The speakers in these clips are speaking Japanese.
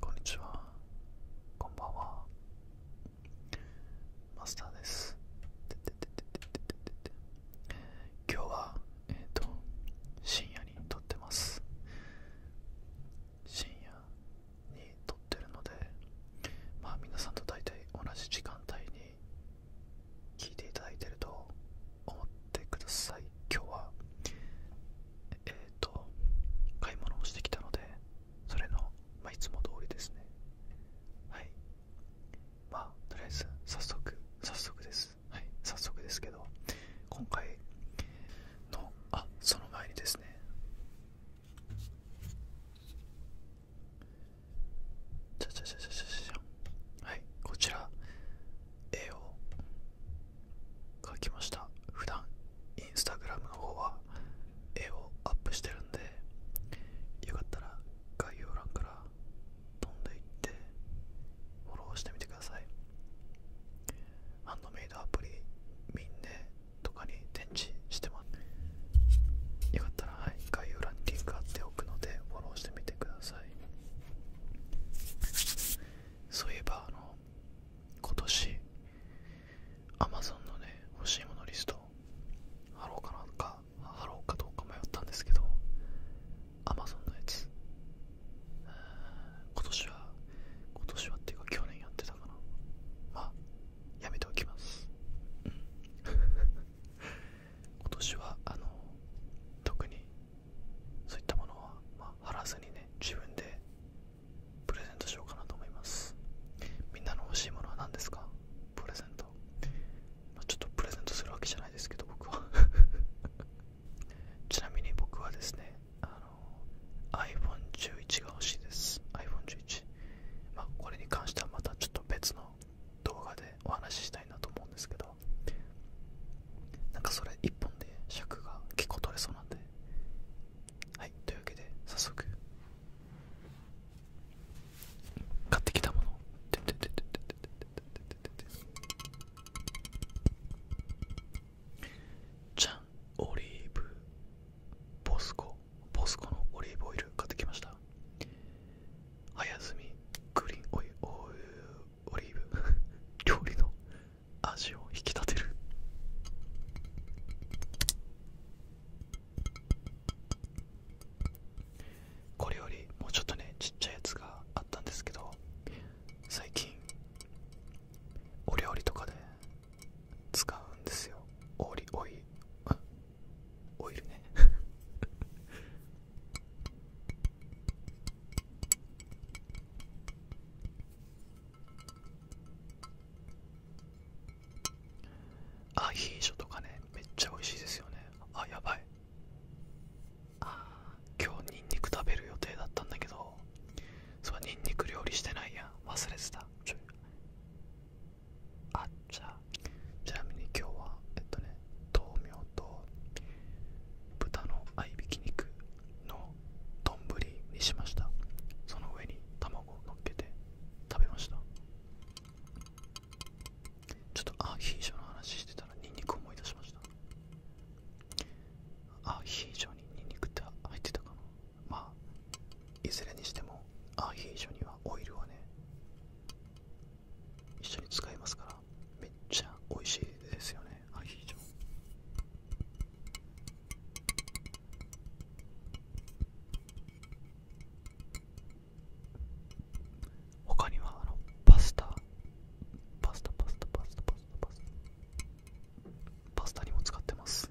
こんにちはこんばんはマスターです今日は深夜に撮ってます深夜に撮ってるのでまあ皆さんと大体同じ時間帯に聞いていただいてると思ってください今日はえっ、と買い物をしてきたのでそれの、まあ、いつも通りですねはいまあとりあえず早速早速ですはい早速ですけど今回のあその前にですねじゃじゃじゃじゃじゃじゃはいこちら絵を書きました普段インスタグラムの方は絵をアップしてるんでよかったら概要欄から飛んでいってフォローしてみてくださいハンドメイドアプリみんねとかに展示してますよかったら、概要欄にリンておくのでフォローしてみてくださいそういえばあの今年 Amazon のね欲しいものリスト貼ろうかなか貼ろうかどうか迷ったんですけど Amazon のやつ今年は今年はっていうか去年やってたからまあやめておきます、うん、今年はあの特にそういったものは、まあ、貼らずにね自分でプレゼントしようかなと思いますみんなの欲しいものは何ですかプレゼント、まちょっとプレゼントするわけじゃないですけど僕は ちなみに僕はですねあの iPhone11 が欲しいです iPhone11 まこれに関してはまたちょっと別の動画でお話ししたいなと思うんですけどなんかそれ1本で尺が結構取れそうなんではいというわけで早速買ってきたものてててじゃんオリーブボスコボスコのオリーブオイル買ってきましたあやずみグリーンオイルオイオリーブ 料理の味を引き立てるこれよりもうちょっとねちっちゃいやつがあったんですけど最近お料理とかで使うんですよオリオイ オイルね アヒージョとかねめっちゃ美味しいですよねあやばいあ今日ニンニク食べる予定だったんだけどそうニンニク料理してないやん忘れてたちょい。あっじゃあちなみに今日はえっとね豆苗と豚の合いびき肉の丼にしましたその上に卵をのっけて食べましたちょっとアヒージョの話してたらニンニク思い出しましたアヒージョにニンニクって入ってたかなまあいずれにしてもアヒージョにはオイルはね一緒に使いますからめっちゃ美味しいですよねアヒージョ他にはあのパスタパスタパスタパスタパスタパスタパスタにも使ってます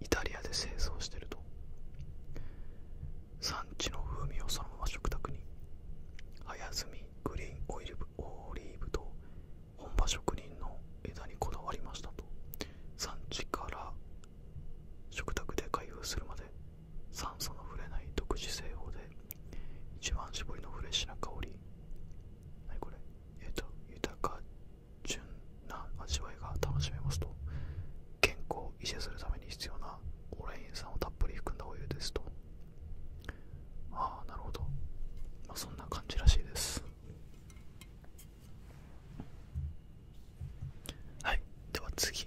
イタリアで製造してると産地の風味をそのまま食卓に早摘みグリーンオイルオリーブと本場職人の枝にこだわりましたと産地から食卓で開封するまで酸素の触れない独自製法で一番搾りのフレッシュな香り何これえっと豊か純な味わいが楽しめますと健康を維持するために必要なオレイン酸をたっぷり含んだお湯ですとああなるほど、そんな感じらしいですはいでは次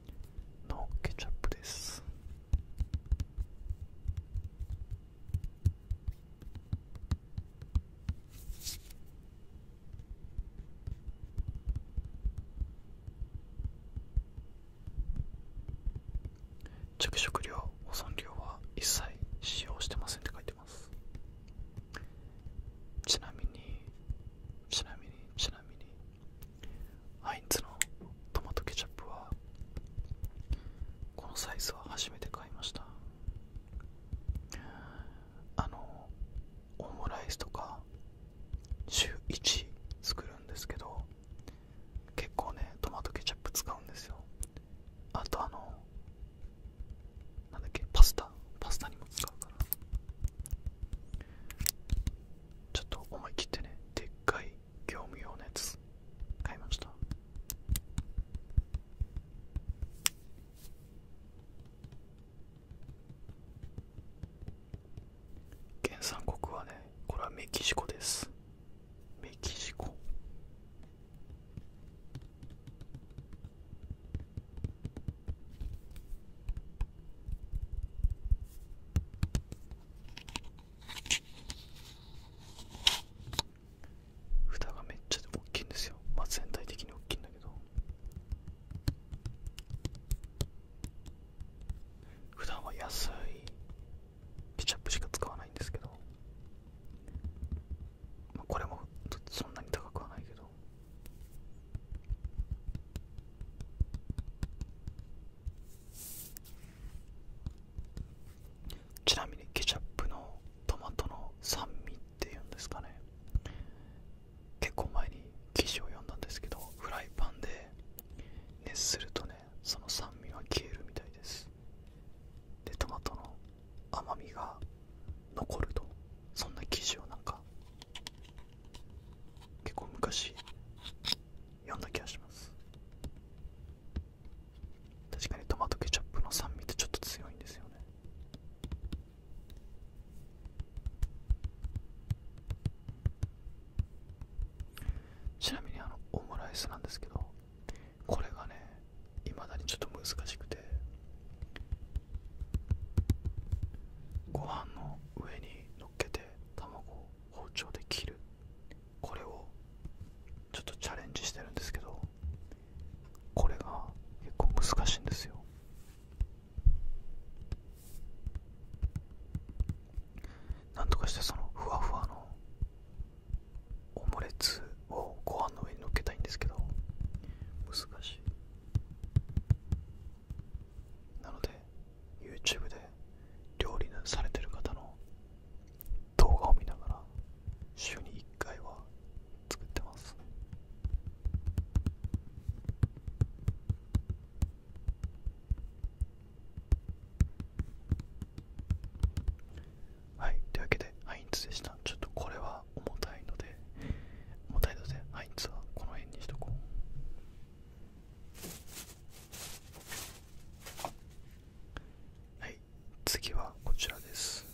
のケチャップです着色料保存料は一切使用してませんって書いてますちなみにちなみにちなみにハインツのトマトケチャップはこのサイズは初めて買いましたあのオムライスとか週1作るんですけど結構ねトマトケチャップ使うんですよあとあのなんだっけパスタパスタにも使うからちょっと思い切ってねでっかい業務用のやつ買いました原産国はねこれはメキシコですメキシコふ蓋がめっちゃ大きいんですよまあ全体的に大きいんだけど普段は安いケチャップしか使わないんですけど、まあ、これもそんなに高くはないけどどちなみにケチャップのトマトの酸味っていうんですかね結構前に記事を読んだんですけどフライパンで熱するとねその酸味が消えるみたいですでトマトの甘みが残るとそんな記事をなんか結構昔読んだ気がします確かにトマトケチャップの酸味ってちょっと強いんですよねちなみにあのオムライスなんですけどこれがねいまだにちょっと難しくてご飯の上に乗っけて卵を包丁で切るこれをちょっとチャレンジしてるんですけどこれが結構難しいんですよなんとかしてそのふわふわのオムレツをご飯の上に乗っけたいんですけど難しいなので YouTube で料理されてる方の動画を見ながら週に1回は作ってますはいというわけでハインツでしたちょっとこれは重たいので重たいのであいつはこの辺にしとこうはい次はこちらです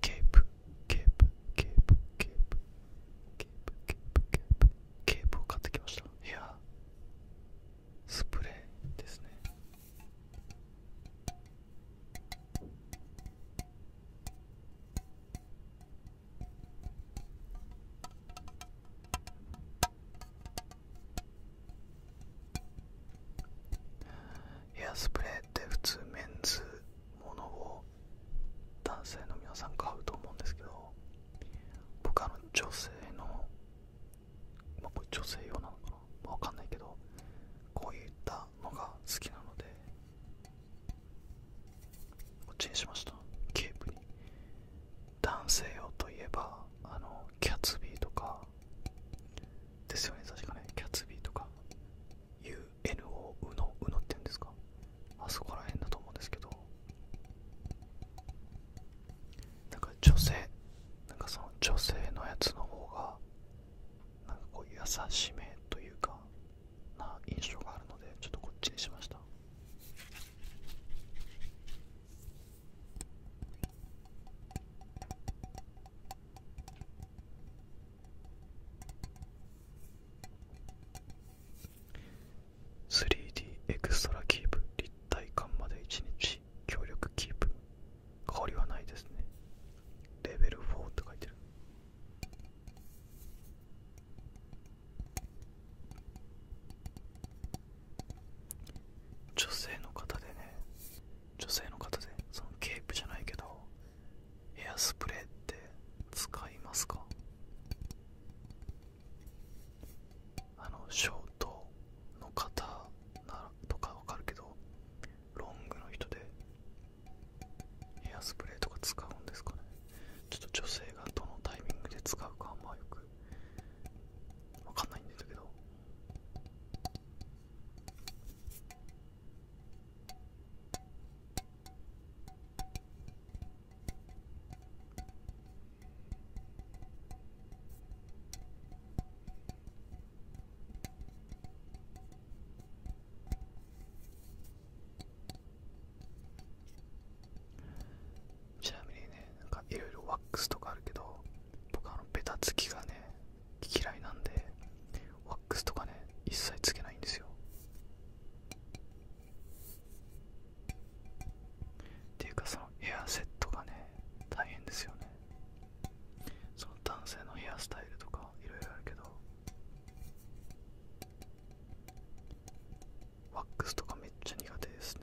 ケープケープケープケープケープケープケープケープを買ってきましたいやスプレーですねエアスプレーって普通メンズものを男性の皆さん買うと思うんですけど僕の女性のまこれ女性用なのかな、まかんないけどこういったのが好きなのでこっちにしましたケープに男性用といえばあのキャツビーとかですよね確かねキャツビーとか UNO うのうのって言うんですかあそこら辺だと思うんですけどなんか女性なんかその女性のやつの方がなんかこう優しめというかな印象があるのでちょっとこっちにしました 3D エクストラキープ立体感まで1日協力キープ香りはないですねレベル4って書いてる女性の方でね女性の方でそのケープじゃないけどエアスプレーって使いますかあのショートの方なとかわかるけどロングの人でヘアスプレーとか使うんですかねちょっと女性がどのタイミングで使うかはまあよくわかんないんだけどちなみにねなんかいろいろワックスとかあるけど僕あのベタつきがね嫌いなんでワックスとかね一切つけないんですよっていうかそのエアセットがね大変ですよねその男性のヘアスタイルとかいろいろあるけどワックスとかめっちゃ苦手ですね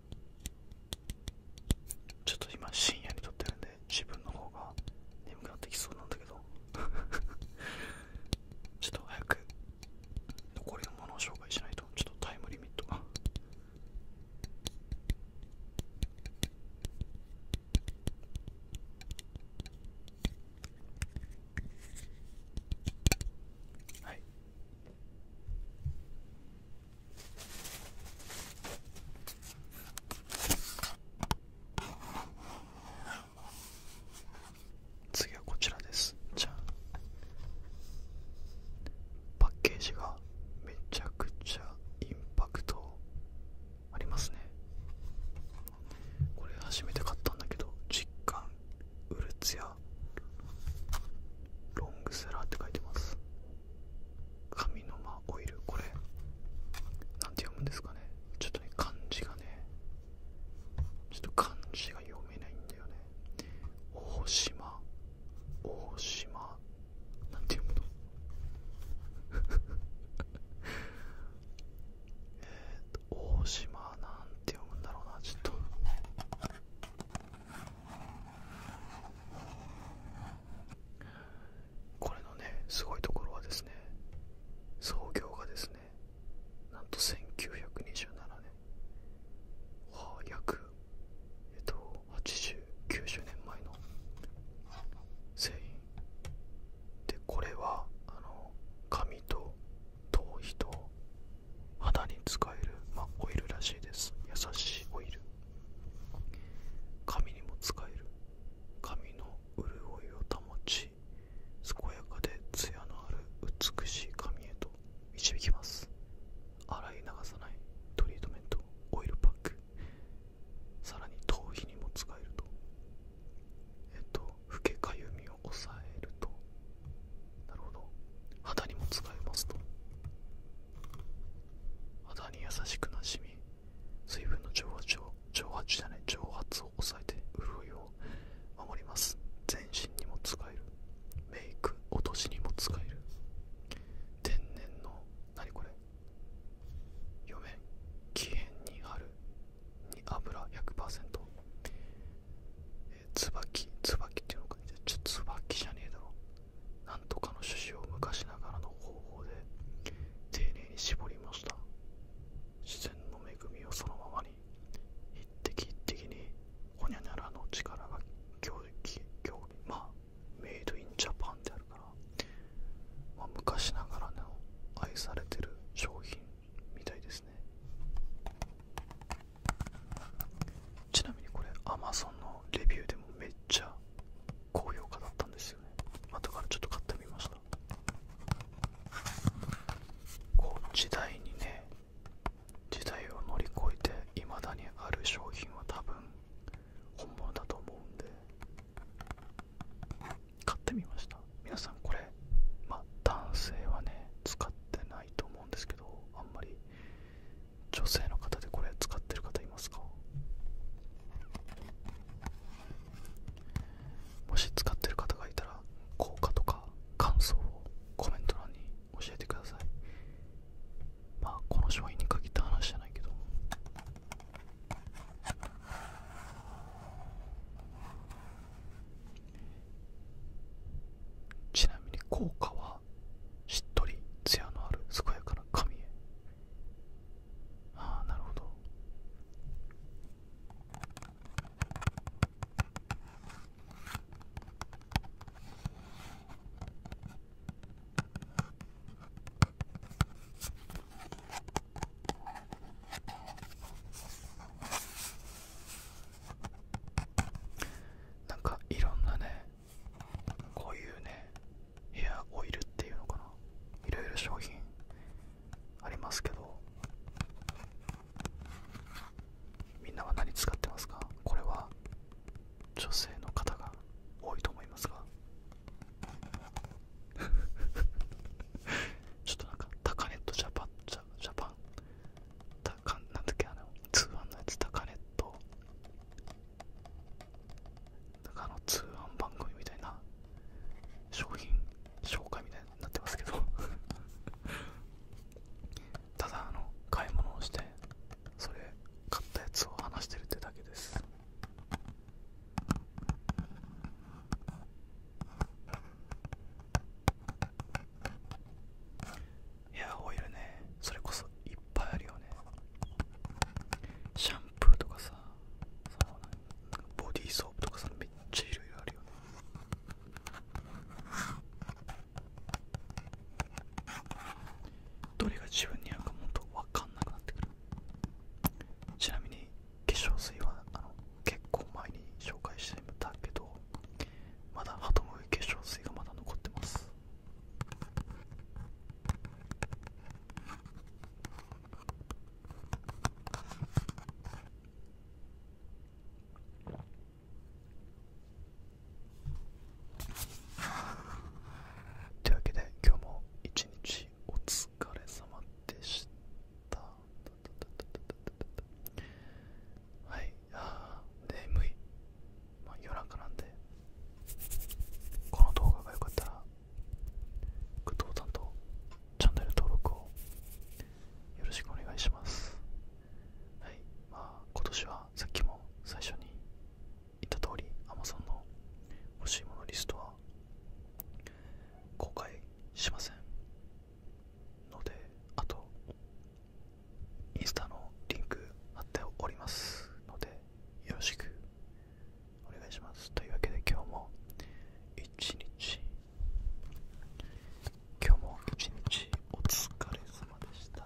ちょっと今深夜に撮ってるんで自分の方が眠くなってきそうなんだけど ちょっと早く残りのものを紹介しないとちょっとタイムリミットがはい次はこちらですじゃんパッケージがめちゃくちゃインパクトありますねこれ初めて買ったんだけど実感うるつや。やロングセラーって書いてます紙の間オイルこれなて読むんですかねちょっとね漢字がねちょっと漢字が読めないんだよね大島大島なんて読むの えっと大島なて読むんだろうなちょっとこれのねすごいところはですね創業がですねなんと1927年は約えっと8090年前の製品でこれはあの紙と頭皮と肌に使える、まオイルらしいです優しいオイル髪にも使える髪の潤いを保ち健やかでツヤのある美しい髪へと導きます洗い流さないトリートメントオイルパックさらに頭皮にも使えるとえっと老けかゆみみを抑えるとなるほど肌にも使えますと肌に優しくなしみ水分の蒸発を蒸発じゃない蒸発を抑えて潤いを守ります全身にも使えるメイク落としにも使える天然の何これ嫁面木にあるに油100%、えー、椿椿っていうのかちょ椿じゃねえだろなんとかの趣旨を昔ながらの方法で丁寧に絞りました自然の恵みをそのままに一滴一滴にほにゃにゃらの力が強力強力まあメイドインジャパンであるから、ま昔ながらの愛されてる商品みたいですねちなみにこれ Amazon のレビューでもめっちゃ高評価だったんですよね後からちょっと買ってみましたこう時代にね時代を乗り越えていまだにある商品は多分本物だと思うんで買ってみました皆さんこれまあ男性はね使ってないと思うんですけどあんまり女性の方でこれ使ってる方いますかもし使ってる方がいたら効果とか感想をコメント欄に教えてくださいまあこの商品に限った話じゃないけどちなみに効果はしっとりツヤのある健やかな髪へああなるほどなんかいろんなねこういうねヘアオイルっていうのかないろいろ商品ありますけどみんなは何使ってますかこれは女性の方が多いと思いますが ちょっとなんかタカネットジャパンジャパンたかなんだっけあの通販のやつ高カネットなんかあの通販番組みたいな商品紹介みたいになってますけど ただあの買い物をしてそれ買ったやつを話してるってだけですヘアオイルねそれこそいっぱいあるよねシャンプーとかさそのボディーソープとかさめっちゃいろあるよねどれが自分に合うかもとわかんなくなってくるちなみに化粧水はあの結構前に紹介してみたけどまだハトムギ化粧水がまだ残ってますというわけで今日も一日お疲れ様でした。はいあー眠い、まあ、夜中なんでこの動画が良かったらグッドボタンとチャンネル登録をよろしくお願いしますはいまあ今年はさっきも最初に言った通り Amazon の欲しいものリストは公開しませんのであとインスタのリンク貼っておりますのでよろしくお願いしますというわけで今日も一日今日も一日お疲れ様でした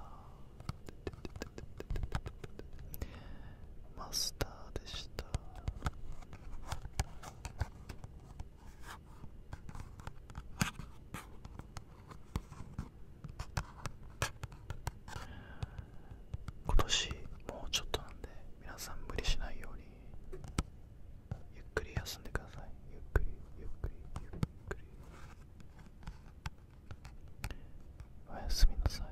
マスターでした今年もうちょっとなんで皆さん無理しないようにゆっくり休んでくださいゆっくりゆっくりゆっくりおやすみなさい